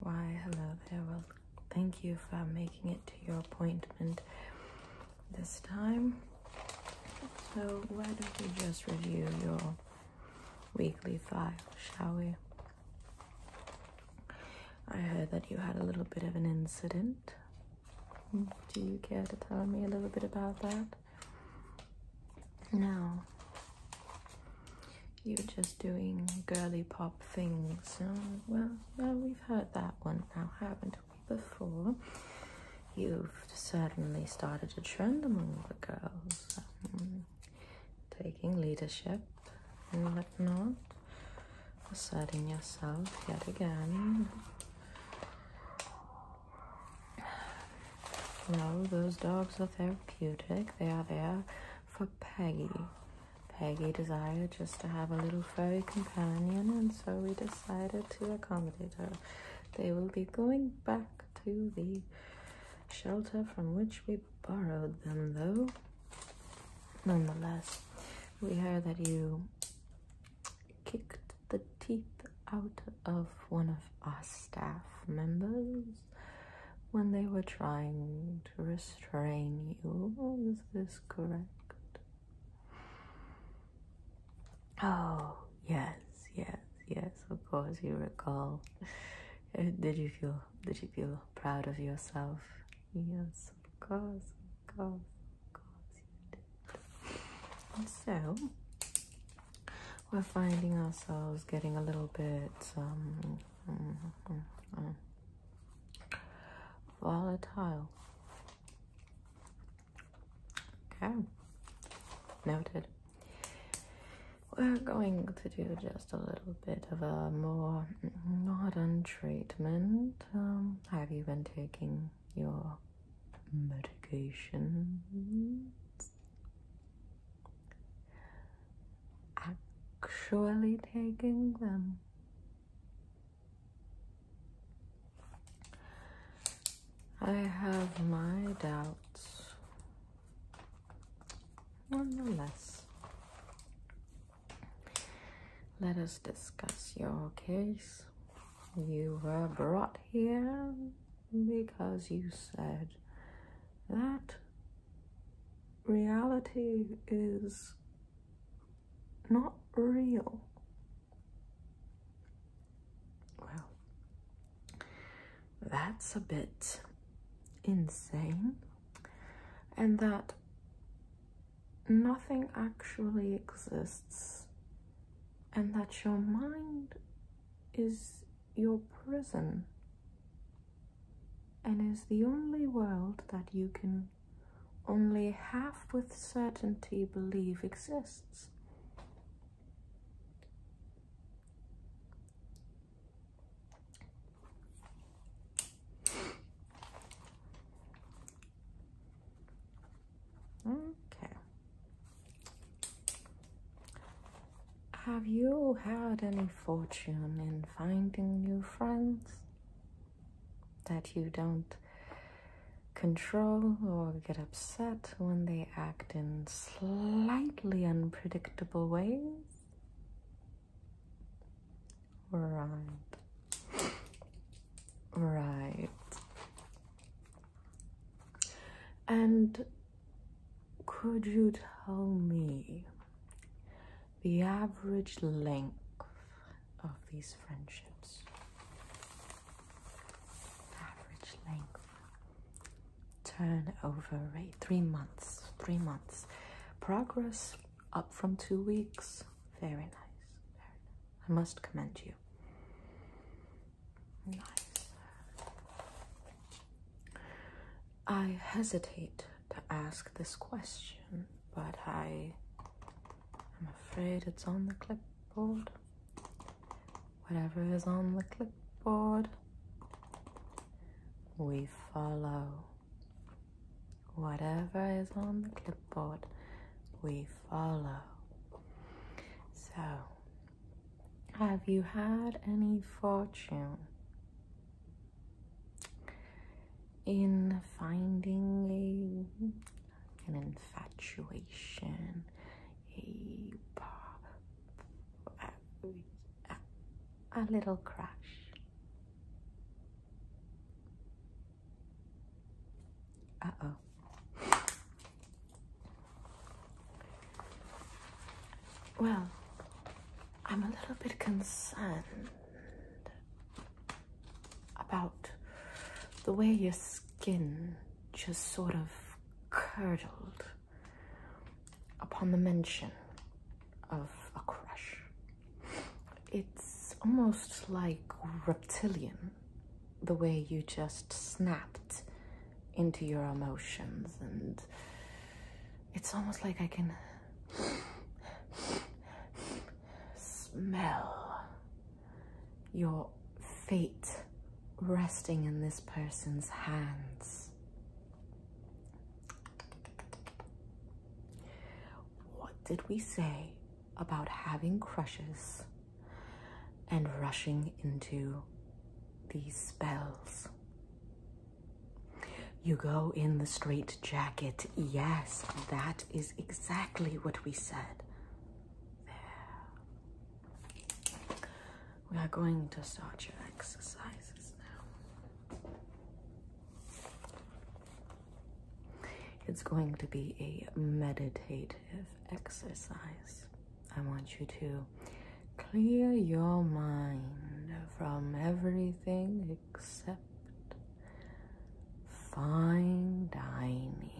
Why, hello there. Well, thank you for making it to your appointment this time. So, why don't we just review your weekly file, shall we? I heard that you had a little bit of an incident. Do you care to tell me a little bit about that? No. You're just doing girly pop things. Oh, well, we've heard that one now, haven't we? Before, you've certainly started a trend among the girls, um, taking leadership and not, asserting yourself yet again. No, those dogs are therapeutic. They are there for Peggy. Peggy desired just to have a little furry companion, and so we decided to accommodate her. They will be going back to the shelter from which we borrowed them, though. Nonetheless, we heard that you kicked the teeth out of one of our staff members when they were trying to restrain you. Oh, is this correct? Oh, yes, yes, yes, of course you recall. Uh, did you feel did you feel proud of yourself? Yes, of course, of course, of course so we're finding ourselves getting a little bit um, Mm-hmm. Volatile. Okay. Noted. We're going to do just a little bit of a more modern treatment. Um, have you been taking your medication? actually taking them. I have my doubts. more less. let us discuss your case. You were brought here because you said that reality is not real. Well, that's a bit insane, and that nothing actually exists, and that your mind is your prison and is the only world that you can only half with certainty believe exists. Okay. Have you had any fortune in finding new friends that you don't control or get upset when they act in slightly unpredictable ways? Right. Right. And could you tell me the average length of these friendships? Average length. Turnover rate. Three months. Three months. Progress up from two weeks. Very nice. I must commend you. Nice. I hesitate to ask this question, but I am afraid it's on the clipboard. Whatever is on the clipboard, we follow. Whatever is on the clipboard, we follow. So, have you had any fortune in finding a, an infatuation, a, a, little crush? Uh oh. Well, I'm a little bit concerned about the way your skin just sort of curdled upon the mention of a crush. It's almost like reptilian, the way you just snapped into your emotions and it's almost like I can smell your feet resting in this person's hands. What did we say about having crushes and rushing into these spells? You go in the straight jacket. Yes, that is exactly what we said. We are going to start your exercises now. It's going to be a meditative exercise. I want you to clear your mind from everything except fine dining.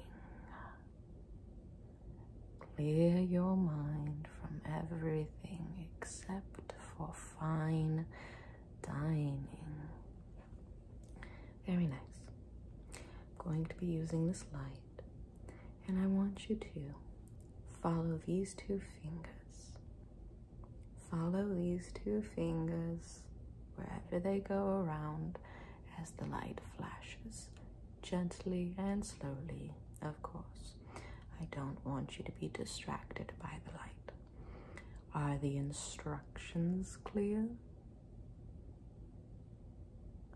Clear your mind from everything except for fine dining. Very nice. going to be using this light and I want you to follow these two fingers. Follow these two fingers wherever they go around as the light flashes, gently and slowly, of course. I don't want you to be distracted by the light. Are the instructions clear?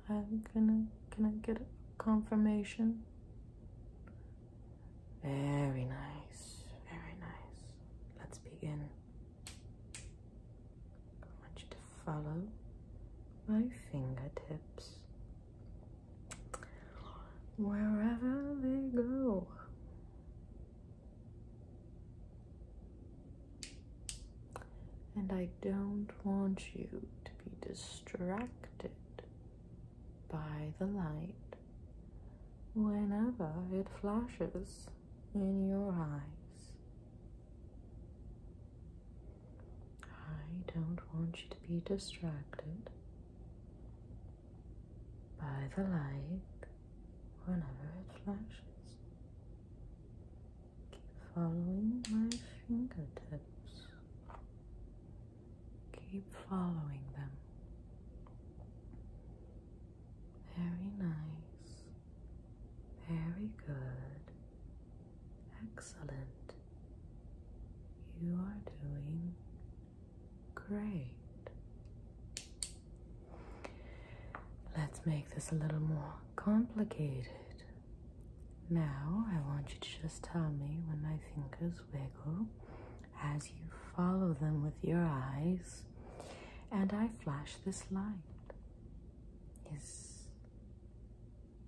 I'm gonna. Can I get a confirmation? Very nice. Very nice. Let's begin. I want you to follow my fingertips wherever they go. And I don't want you to be distracted by the light whenever it flashes in your eyes. I don't want you to be distracted by the light whenever it flashes. Keep following my fingertips. Keep following them. Very nice. Very good. Excellent. You are doing great. Let's make this a little more complicated. Now, I want you to just tell me when my fingers wiggle as you follow them with your eyes and I flash this light. Is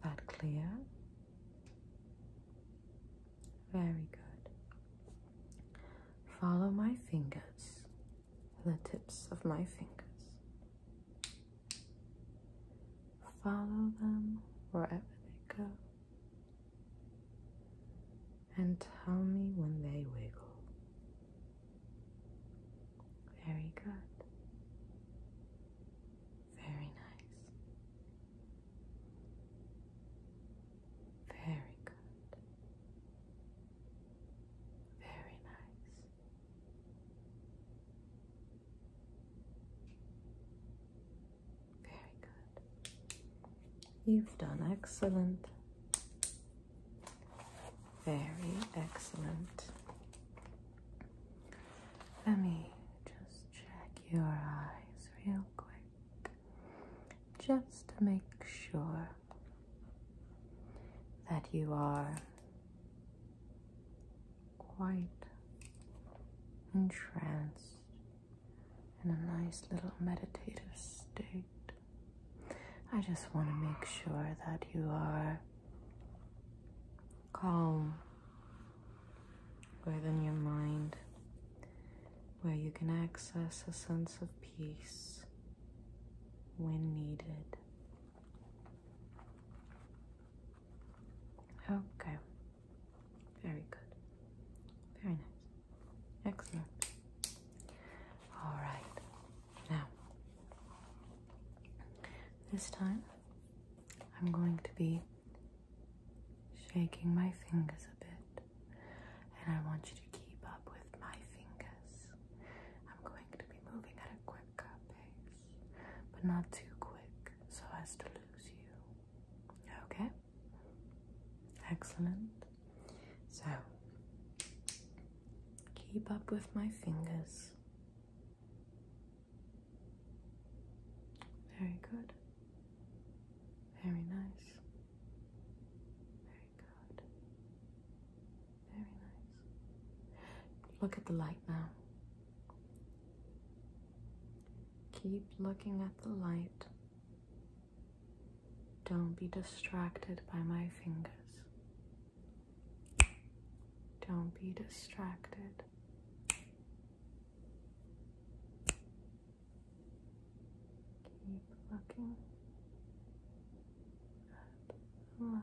that clear? Very good. Follow my fingers, the tips of my fingers. Follow them wherever they go. And tell me when they wiggle. Very good. Very nice. Very good. Very nice. Very good. You've done excellent. Very excellent. Let me just check your eyes real quick just to make sure that you are quite entranced in a nice little meditative state. I just want to make sure that you are calm within your mind, where you can access a sense of peace when needed. Okay. Very good. Very nice. Excellent. All right. Now, this time I'm going to be shaking my fingers a bit, and I want you to keep up with my fingers. I'm going to be moving at a quick but not too quick so as to lose you. Okay? Excellent. So, keep up with my fingers. Very good. Very nice. Very good. Very nice. Look at the light now. Keep looking at the light. Don't be distracted by my fingers. Don't be distracted. Keep looking at the light.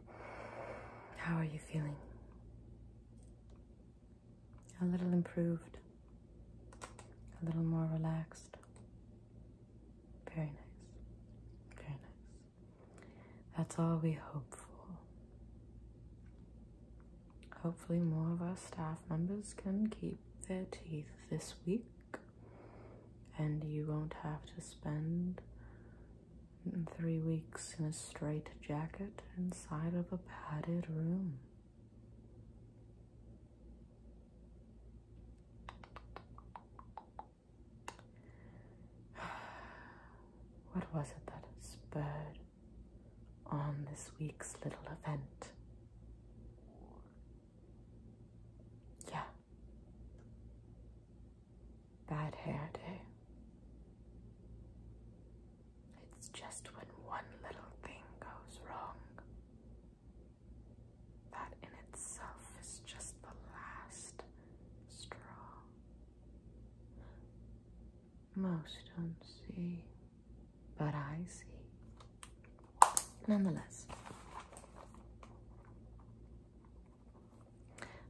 How are you feeling? A little improved, a little more relaxed. Very nice, very nice. That's all we hope for. Hopefully, more of our staff members can keep their teeth this week, and you won't have to spend three weeks in a straight jacket inside of a padded room. What was it that spurred on this week's little event? Yeah bad hair day. It's just when one little thing goes wrong. That in itself is just the last straw. Most don't see, but I see. Nonetheless,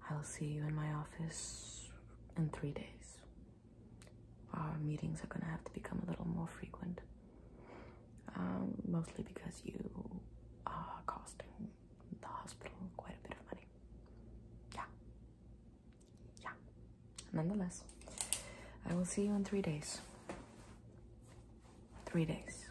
I will see you in my office in three days. Our meetings are going to have to become a little more frequent, um, mostly because you are costing the hospital quite a bit of money. Yeah. Yeah. Nonetheless, I will see you in three days. Three days.